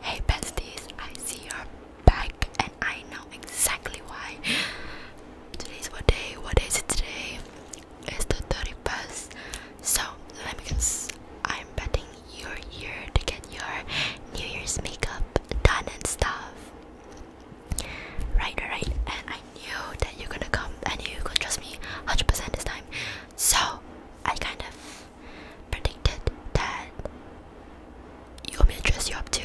Hey besties, I see you're back and I know exactly why. Today's what day? What is it today? It's the 31st. So let me guess. I'm betting you're here to get your New Year's makeup done and stuff. Right, right. And I knew that you're gonna come and you could trust me 100% this time. So I kind of predicted that you want me to dress you up too,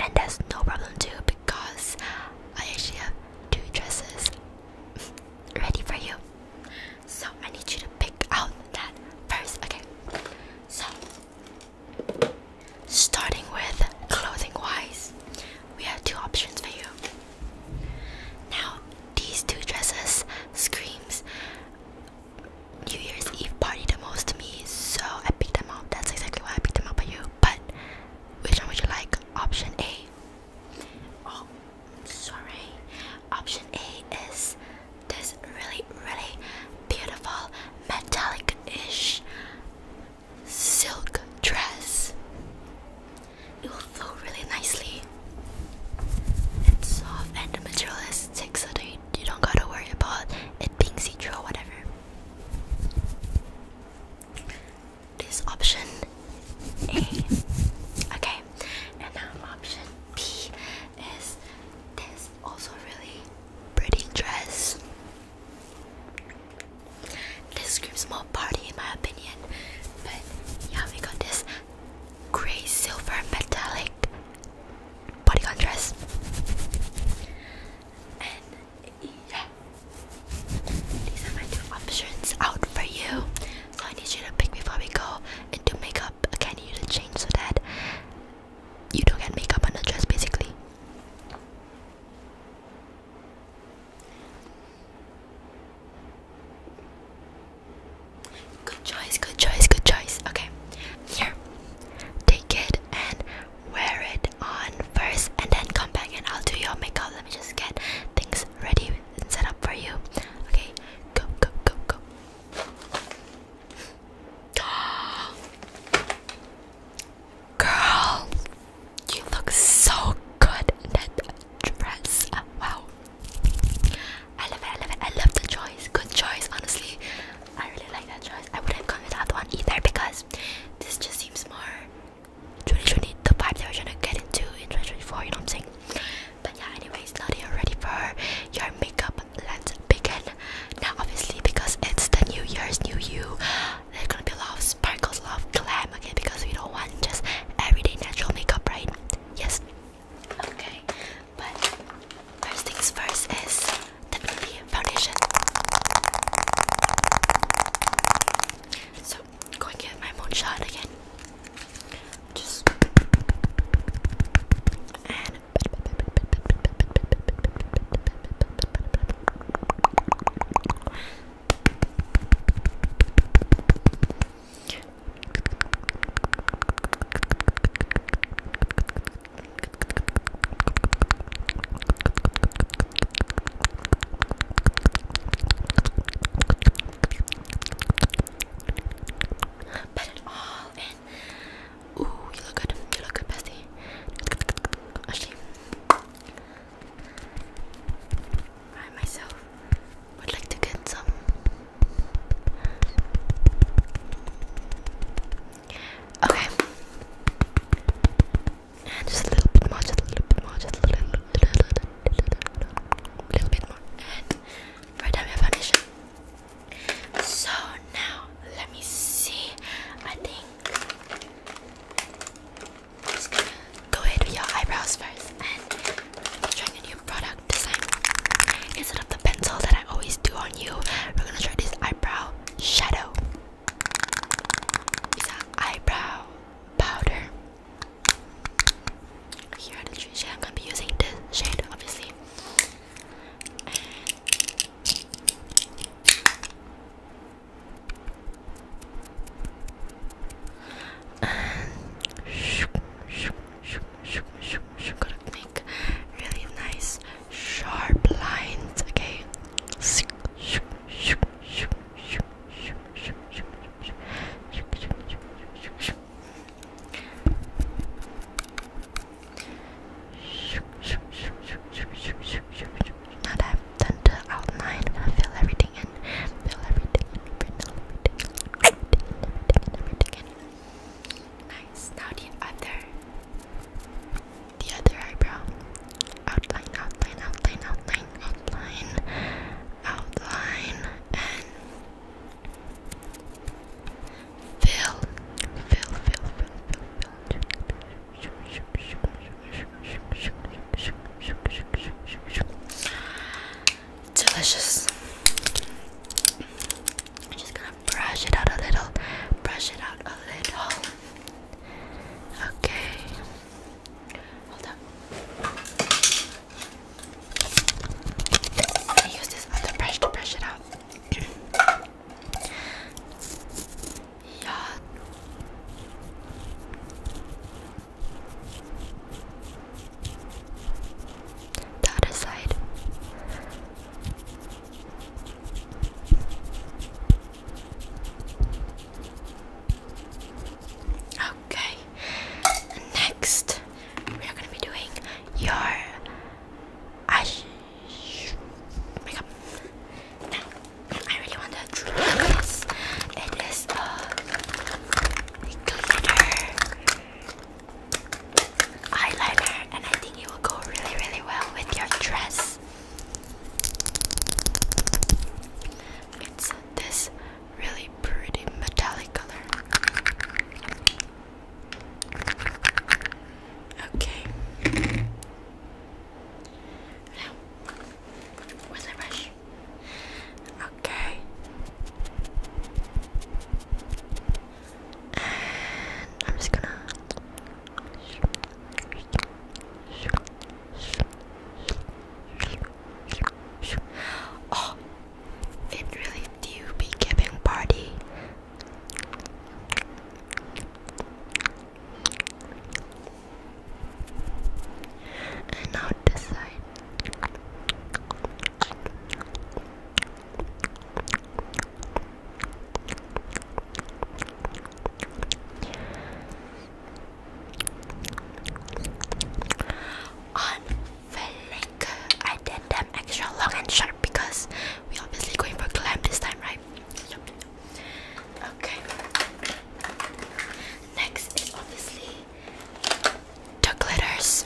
and that's no problem too because I actually have two dresses ready for you. So I need you to pick out that first. Okay, so starting with clothing wise, we have two options for you. Now these two dresses screams New Year's Eve party the most to me, so I picked them up. That's exactly why I picked them up by you. But which one would you like? Option A. Oh, sorry. Option A is this really, really beautiful metallic-ish silk dress. It will flow really nicely it's soft and the material is thick so that you, don't gotta worry about it being see or whatever. This option A. Okay, and now option B is this also really pretty dress. This screams more party in my opinion. But yeah, we got this gray silver metallic bodycon dress. And yeah, these are my two options out for you. So I need you to pick before we go into makeup. Okay, I need you to change so that you don't get makeup on the dress basically. Good choice, good choice, good choice. Okay, here, take it and wear it on first, and then come back and I'll do your makeup. Let me just get things ready and set up for you. Okay, go, go, go, go. Girl, you look so good in that dress. wow. I love it, I love it, I love the choice. Good choice, honestly. I really like that choice. I wouldn't come with that one either because this just seems more 2020, the vibe that we're trying to get into in 2024, you know what I'm saying? But yeah, anyways, now that you're ready for your makeup, let's begin. Now, obviously, because it's the new year's new you, there's gonna be a lot of sparkles, a lot of glam, okay? Because we don't want just everyday natural makeup, right? Yes, Okay, but first things first is the foundation. So, going to get my moonshot again. Just and Put it all in. Ooh, you look good. You look good, Bessie. Actually, I myself would like to get some Okay. just a little bit more, just a little bit more, just a little, little, little, little, little bit more. And right down your foundation. So now let me see. I think just go ahead with your eyebrows first trying a new product design. Instead of the pencil that I always do on you, we're gonna try this eyebrow shadow. It's an eyebrow powder. Here are the three shades. I'm gonna be using this shade, obviously. And and Gotta make really nice sharp lines, okay? Now that I've done the outline, I'm gonna fill everything in, fill everything in, fill everything in, everything in, everything in. Nice. Now the other, the other eyebrow. Outline, outline, outline, outline, outline, outline, and fill, fill, fill, fill, fill, fill delicious. just gonna brush it out a little, brush it out a little. Okay. Hold on. Let use this other brush to brush it out. yeah. The other side. Okay. Next, we are gonna be doing your eyes makeup. Now, I really want to draw this. It is glitter eyeliner, and I think it will go really, really well with your dress. It's this really pretty metallic color. Okay. Now, what's the brush? Okay. I'm just gonna. Oh, it really do be giving party. And now this side. On I did them extra long and sharp because we are obviously going for climb this time, right? Okay. Next is obviously the glitters.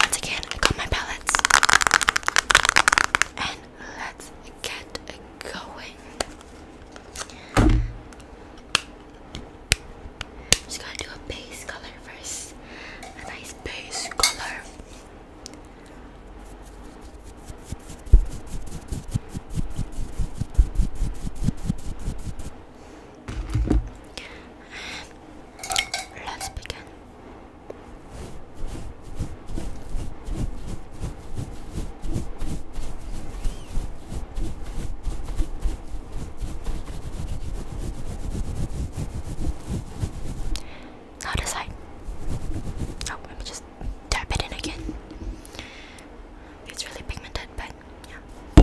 Once again, I got my palettes. And let's get going. Just gotta do a base color first. A nice base color let's begin. Now decide. Oh, let me just tap it in again. It's really pigmented, but yeah.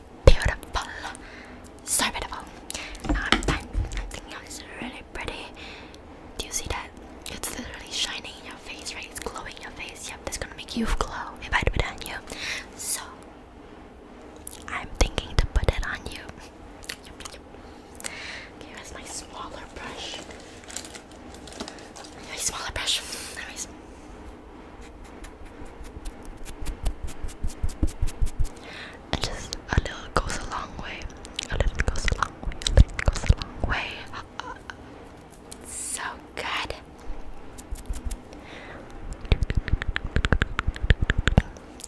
beautiful. So beautiful. Now I'm done. I'm thinking oh, it's really pretty. Do you see that? It's literally shining in your face, right? It's glowing in your face. Yep, that's gonna make you glow if I do it on you. So I'm thinking to put it on you. Yep, yep. Okay, where's my smaller brush? My smaller brush. Anyways and just a little goes a long way. A little goes a long way. A little goes a long way. Uh, so good.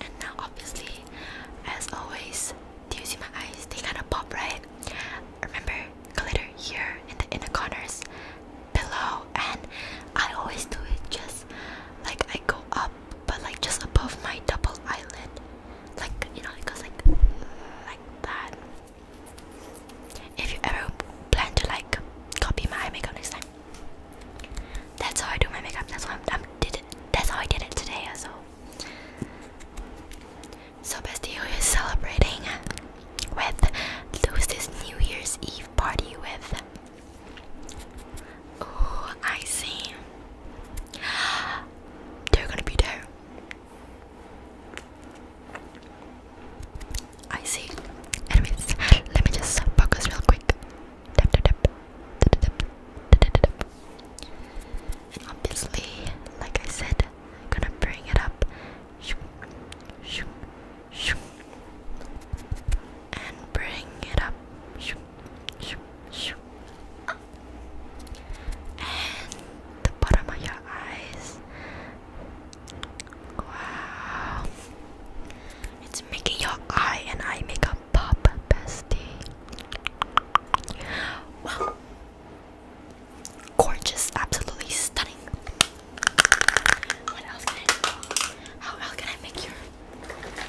And now, obviously, as always, do you see my eyes? They kind of pop, right? Remember, glitter here in the inner corners, below, and I always do it just like I go up but like just above my double eyelid, like you know, it goes like like that. If you ever plan to like copy my makeup next time, that's how I do my makeup. That's why i did it. That's how I did it today. So, so bestie, who is celebrating with this New Year's Eve party with? Oh, I see. They're gonna be there. I see. Anyways, let me just focus real quick. obviously, like I said, I'm gonna bring it up and bring it up. And the bottom of your eyes. Wow. It's making your eye and eye makeup pop, bestie. Wow. Gorgeous, absolutely stunning. What else can I do? How else can I make your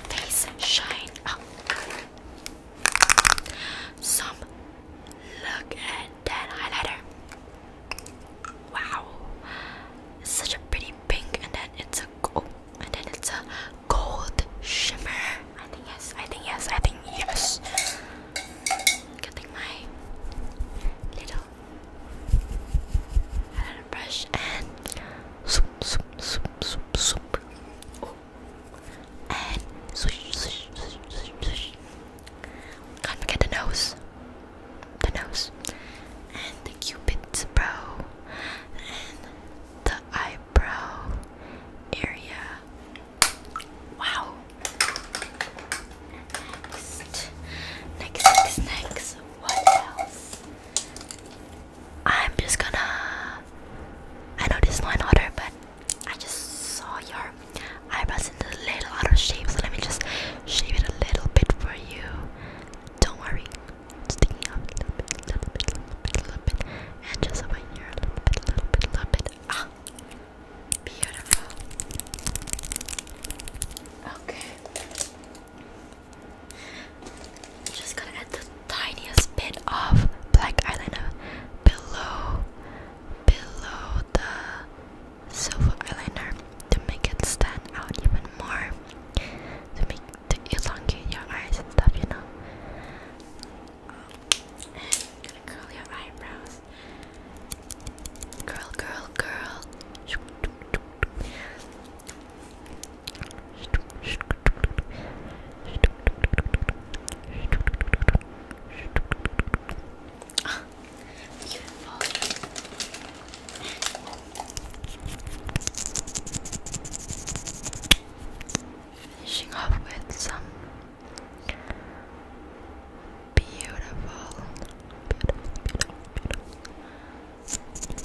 Face shine up. Oh. Some look at that highlighter. Wow, it's such a pretty pink, and then it's a gold, and then it's a gold shimmer. I think yes. I think yes. I think yes. Getting my little brush and swoop, swoop, swoop, swoop. Oh. And swish, swish, swish, swish, swish. Can't forget the nose. The nose. And the cupid's brow. And the eyebrow area. Wow. Next. Next, next, next. What else? I'm just gonna. I know this is not order, but I just saw your eyebrows in a little out of shape, so let me just shave it a little bit for you. Don't worry, sticking a little bit, little bit, little bit, little bit, and just over here a little bit, little bit, little bit. Ah, beautiful. Okay. Just gonna add the tiniest bit of black eyeliner below below the silver eyeliner to make it stand out even more. To make to elongate your eyes stuff, you know. I'm gonna curl your eyebrows. Curl, curl, curl. Beautiful. Finishing off with some beautiful, beautiful, beautiful, beautiful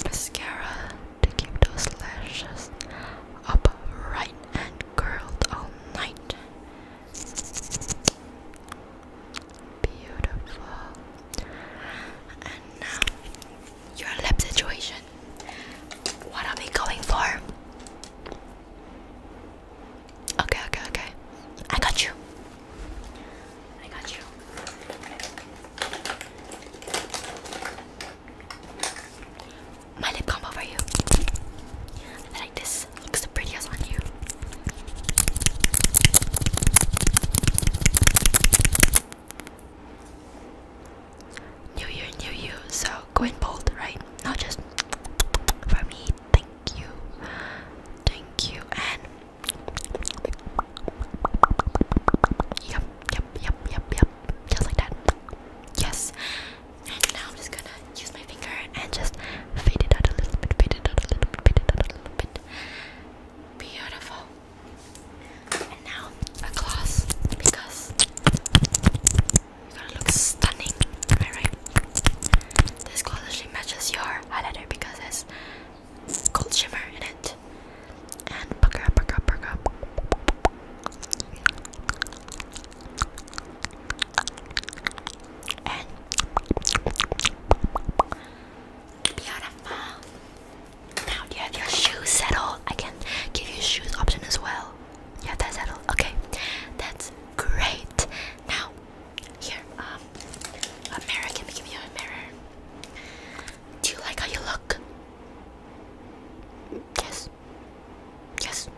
mascara to keep those lashes upright and curled all night. Beautiful. And now your lip situation. What are we going for? Okay, okay, okay. I got you. I got you. My lip combo for you. like this. Looks the prettiest on you. New year, new you. So going bold, right? Not just for me. Thank you. Thank you. And Yep, yep, yep, yep, yep. Just like that. Yes. And now I'm just gonna use my finger and just fade it out a little bit, fade it out a little bit, fade it out a little bit. Beautiful. And now a gloss because you're gonna look stunning. Alright. This gloss actually matches your highlighter because it's cold shiver in it. And pucker up, pucker up, pucker up. And beautiful. Now do you have your shoes settled? I can give you shoes option as well. You have that settled? Okay. That's great. Now here, um a mirror, can we give you a mirror? Do you like how you look? Yes. Yes.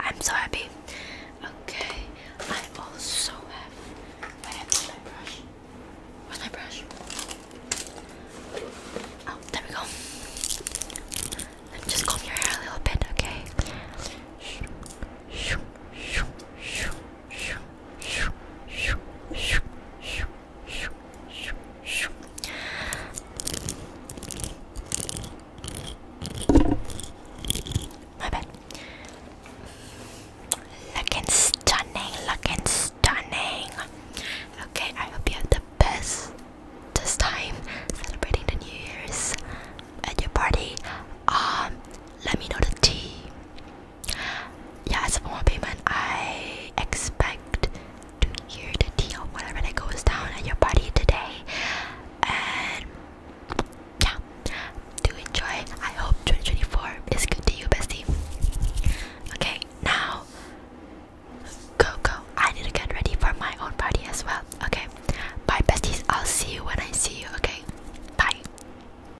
I'm so happy. Okay. I also have. my brush? Where's my brush? Oh, there we go. Let me just comb your hair a little bit, okay? My bad. Looking stunning, looking stunning. Okay, I hope you have the best this time celebrating the New Year's at your party. Um, let me know the tea. Yes, for my payment, I expect to hear the deal or whatever that goes down at your party today. And yeah, do enjoy. I hope 2024 is good to you, bestie. Okay, now go, go. I need to get ready for my own party as well. Okay, bye, besties. I'll see you when I see you. Okay, bye.